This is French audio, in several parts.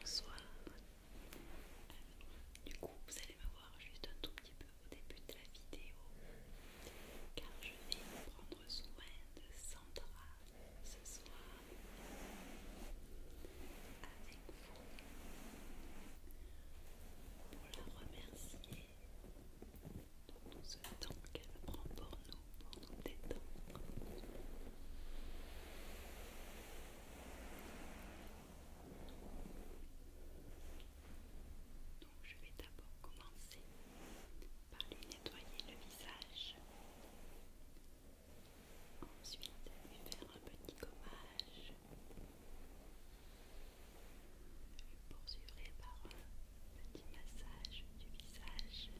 Bonsoir. du coup, vous allez me voir juste un tout petit peu au début de la vidéo, car je vais prendre soin de Sandra ce soir avec vous pour la remercier de tout ce temps qu'elle prend pour nous, pour nous détendre. Donc je vais d'abord commencer par lui nettoyer le visage. Ensuite, je vais faire un petit gommage. Je poursuivrai par un petit massage du visage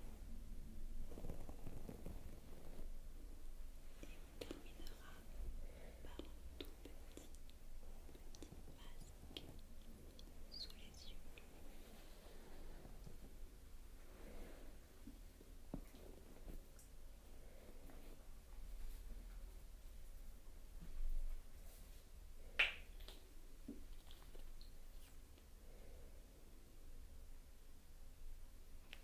terminera par un tout petit, petit masque sous les yeux.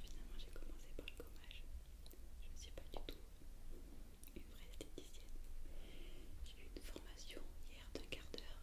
Finalement, j'ai commencé par le gommage. Je ne suis pas du tout une vraie esthéticienne. J'ai eu une formation hier d'un quart d'heure.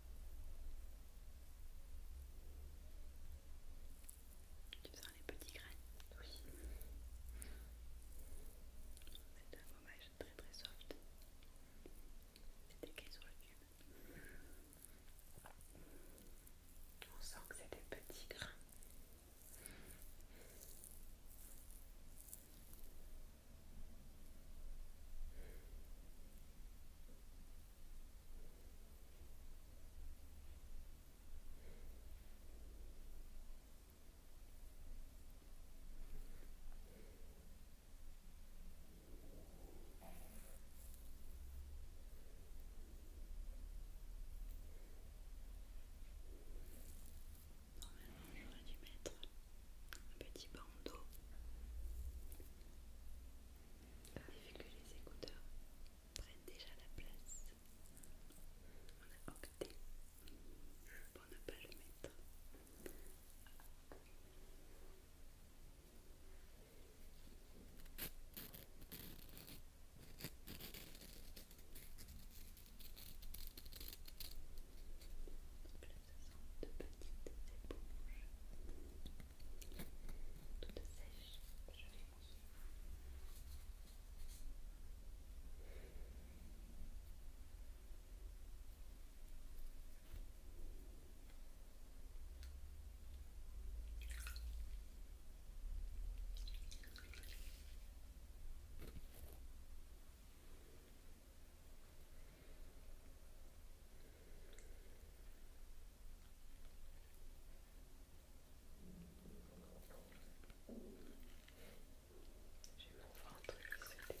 Tu sens les petits grains Oui. C'est un gommage très très soft. C'est des écrit sur le cube. On sent que c'est des petits grains. Normalement, j'aurais dû mettre un petit bandeau mais vu que les écouteurs prennent déjà la place, on a opté pour ne pas le mettre sont de petites éponges toutes sèches. Je les mouille. J'ai mon ventre qui se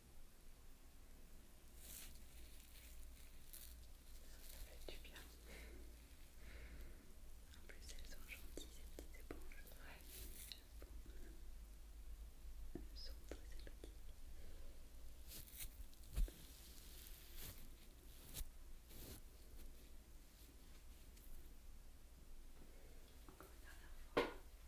Ça fait du bien. En plus, elles sont gentilles, ces petites éponges. Ouais. Elles sont très sympathiques. Encore une dernière fois.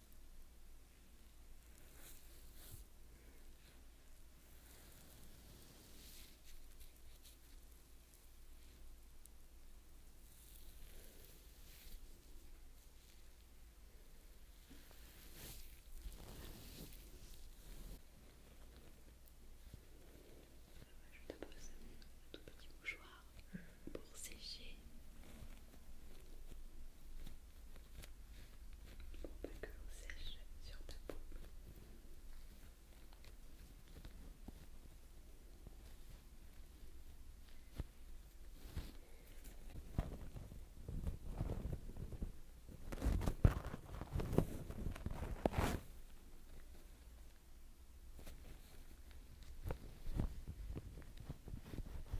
Je te pose un tout petit mouchoir pour sécher pour pas que l'eau sèche sur ta peau. Voilà,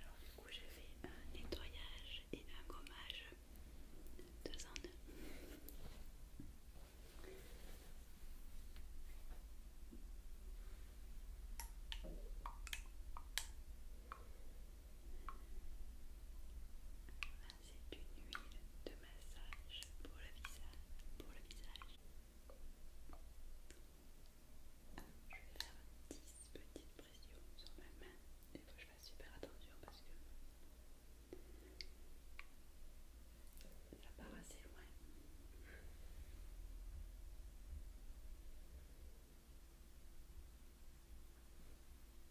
alors du coup, j'ai fait un nettoyage et un gommage deux en deux. C'est une huile de massage pour le visage. Pour le visage. Je vais faire 10 petites pressions sur ma main. Il faut que je fasse super attention parce que ça part assez loin.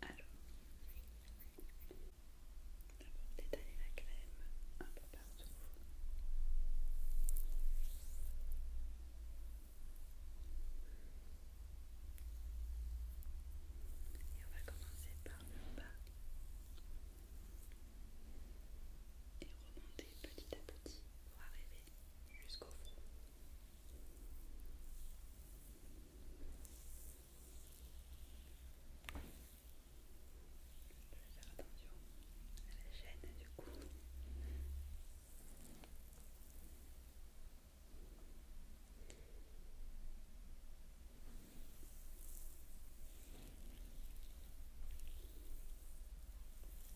Alors, d'abord détaler la crème un peu partout. Et on va commencer par le bas et remonter petit à petit pour arriver jusqu'au front. Je vais faire attention à la chaîne du cou.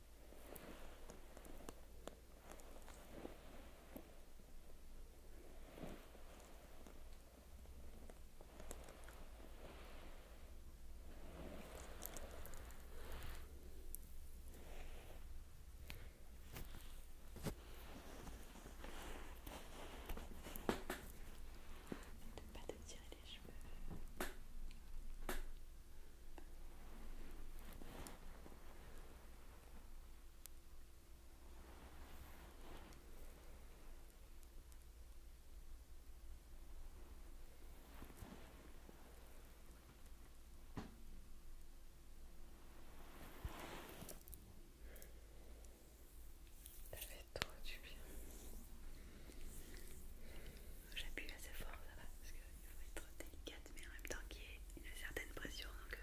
Ne pas te tirer les cheveux. Ça fait trop du bien j'appuie assez fort, ça va, parce qu'il faut être délicat, mais en même temps qu'il y ait une certaine pression. Donc, euh,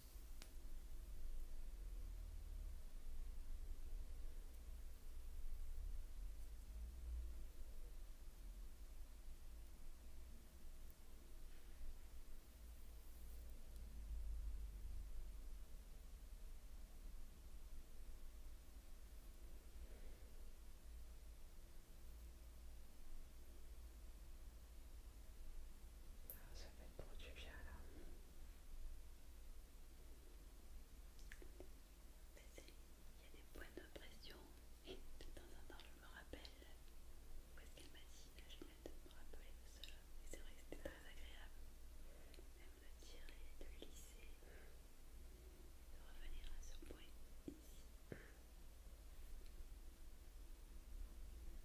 Ah, ça fait trop du bien là. Il y a des points de pression et de temps en temps je me rappelle où est-ce qu'elle m'a dit, la vais de me rappeler de cela. Et c'est vrai que c'était très agréable, même de tirer, de lisser, de revenir à ce point ici.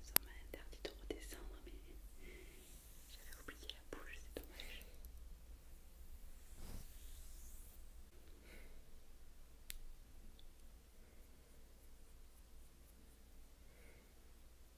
Ça m'a interdit de redescendre, mais j'avais oublié la bouche, c'est dommage.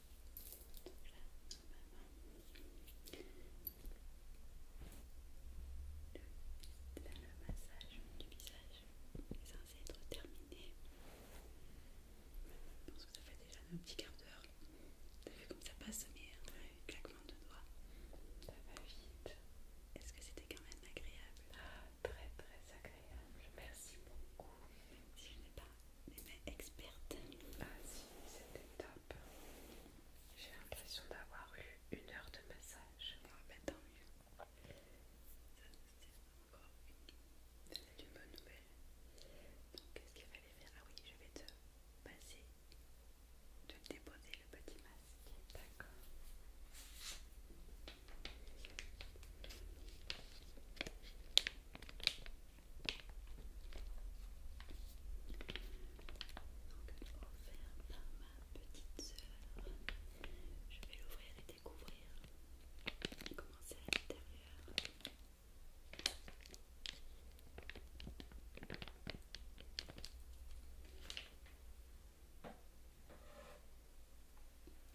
le massage du visage est censé être terminé. Je pense que ça fait déjà un petit quart d'heure. T'as vu comme ça passe, mais un claquement de doigts. Ça va vite. Est-ce que c'était quand même agréable Très très agréable. Merci beaucoup. je n'ai pas les mains expertes. Ah si, c'était top. J'ai l'impression d'avoir eu une heure de massage. Ah bah tant mieux. c'est encore une bonne nouvelle. Donc qu'est-ce qu'il fallait faire Ah oui, je vais te passer, te déposer le petit masque. D'accord par ma petite sœur. Je vais l'ouvrir et découvrir comment c'est à l'intérieur.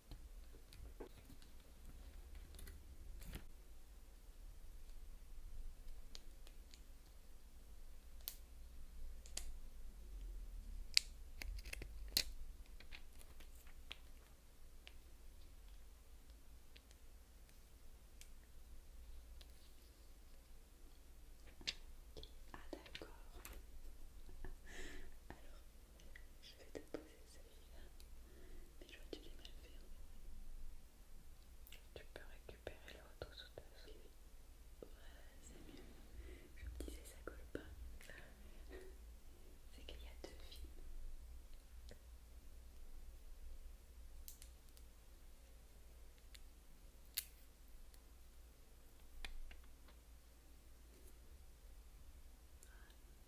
Ah d'accord. Alors je vais te poser celui-là, mais je vois que tu l'as mal fait. Tu peux récupérer retour sous ta Ouais, c'est mieux. Je me disais, ça colle pas. C'est qu'il y a deux filles.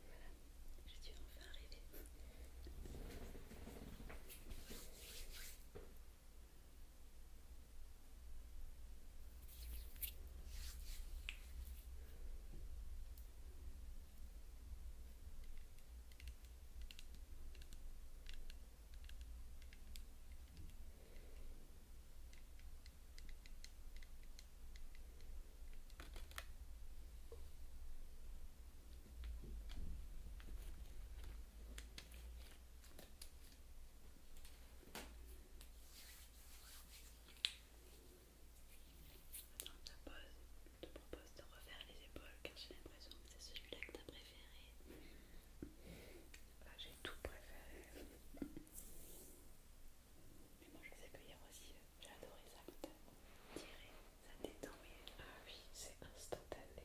Voilà, je suis enfin arrivée. Je te, propose de refaire les épaules car j'ai l'impression que c'est celui-là que tu as préféré. Bah, j'ai tout préféré mais moi je sais que cueillir aussi, euh, j'ai adoré ça quand t'as tiré, ça t'est tombé ah oui, c'est instantané.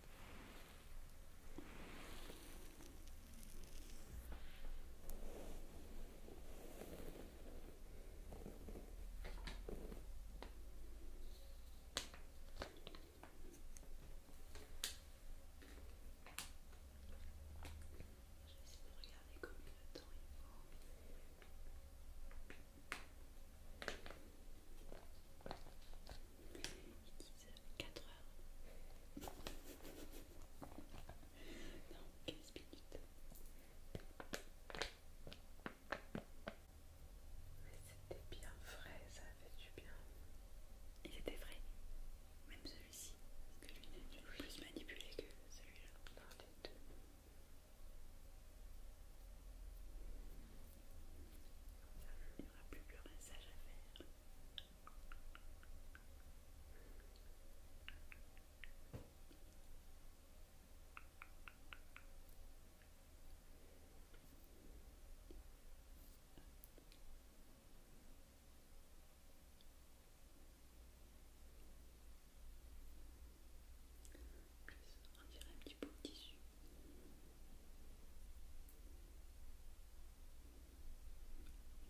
Je vais regarder comme le temps y va. Ils disent 4 heures. Non, 15 minutes. Mais c'était bien frais, ça a fait du bien. Il était frais, même celui-ci, parce que lui n'est plus manipulé que celui-là. Non, il n'y aura plus que le rinçage à faire. En plus, on un petit peu de tissu. Un noir.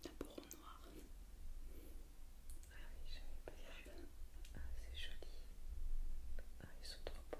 Ah oui, bien. pas Ah, c'est joli. Ah, ils sont trop beaux.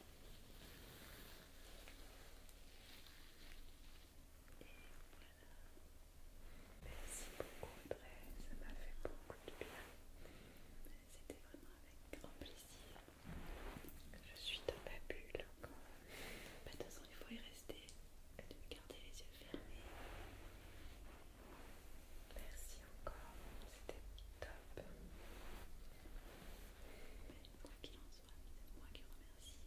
voilà, Merci beaucoup Audrey, ça m'a fait beaucoup de bien. C'était vraiment avec grand plaisir je suis dans ma bulle bah, De toute façon, il faut y rester, faut garder les yeux fermés. Merci encore, c'était top qu'il en soit, c'est moi qui remercie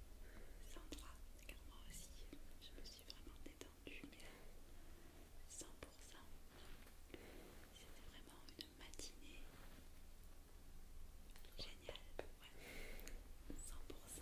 Sandra, car moi aussi je me suis vraiment détendue, mais 100%. C'était vraiment une matinée géniale, ouais. 100%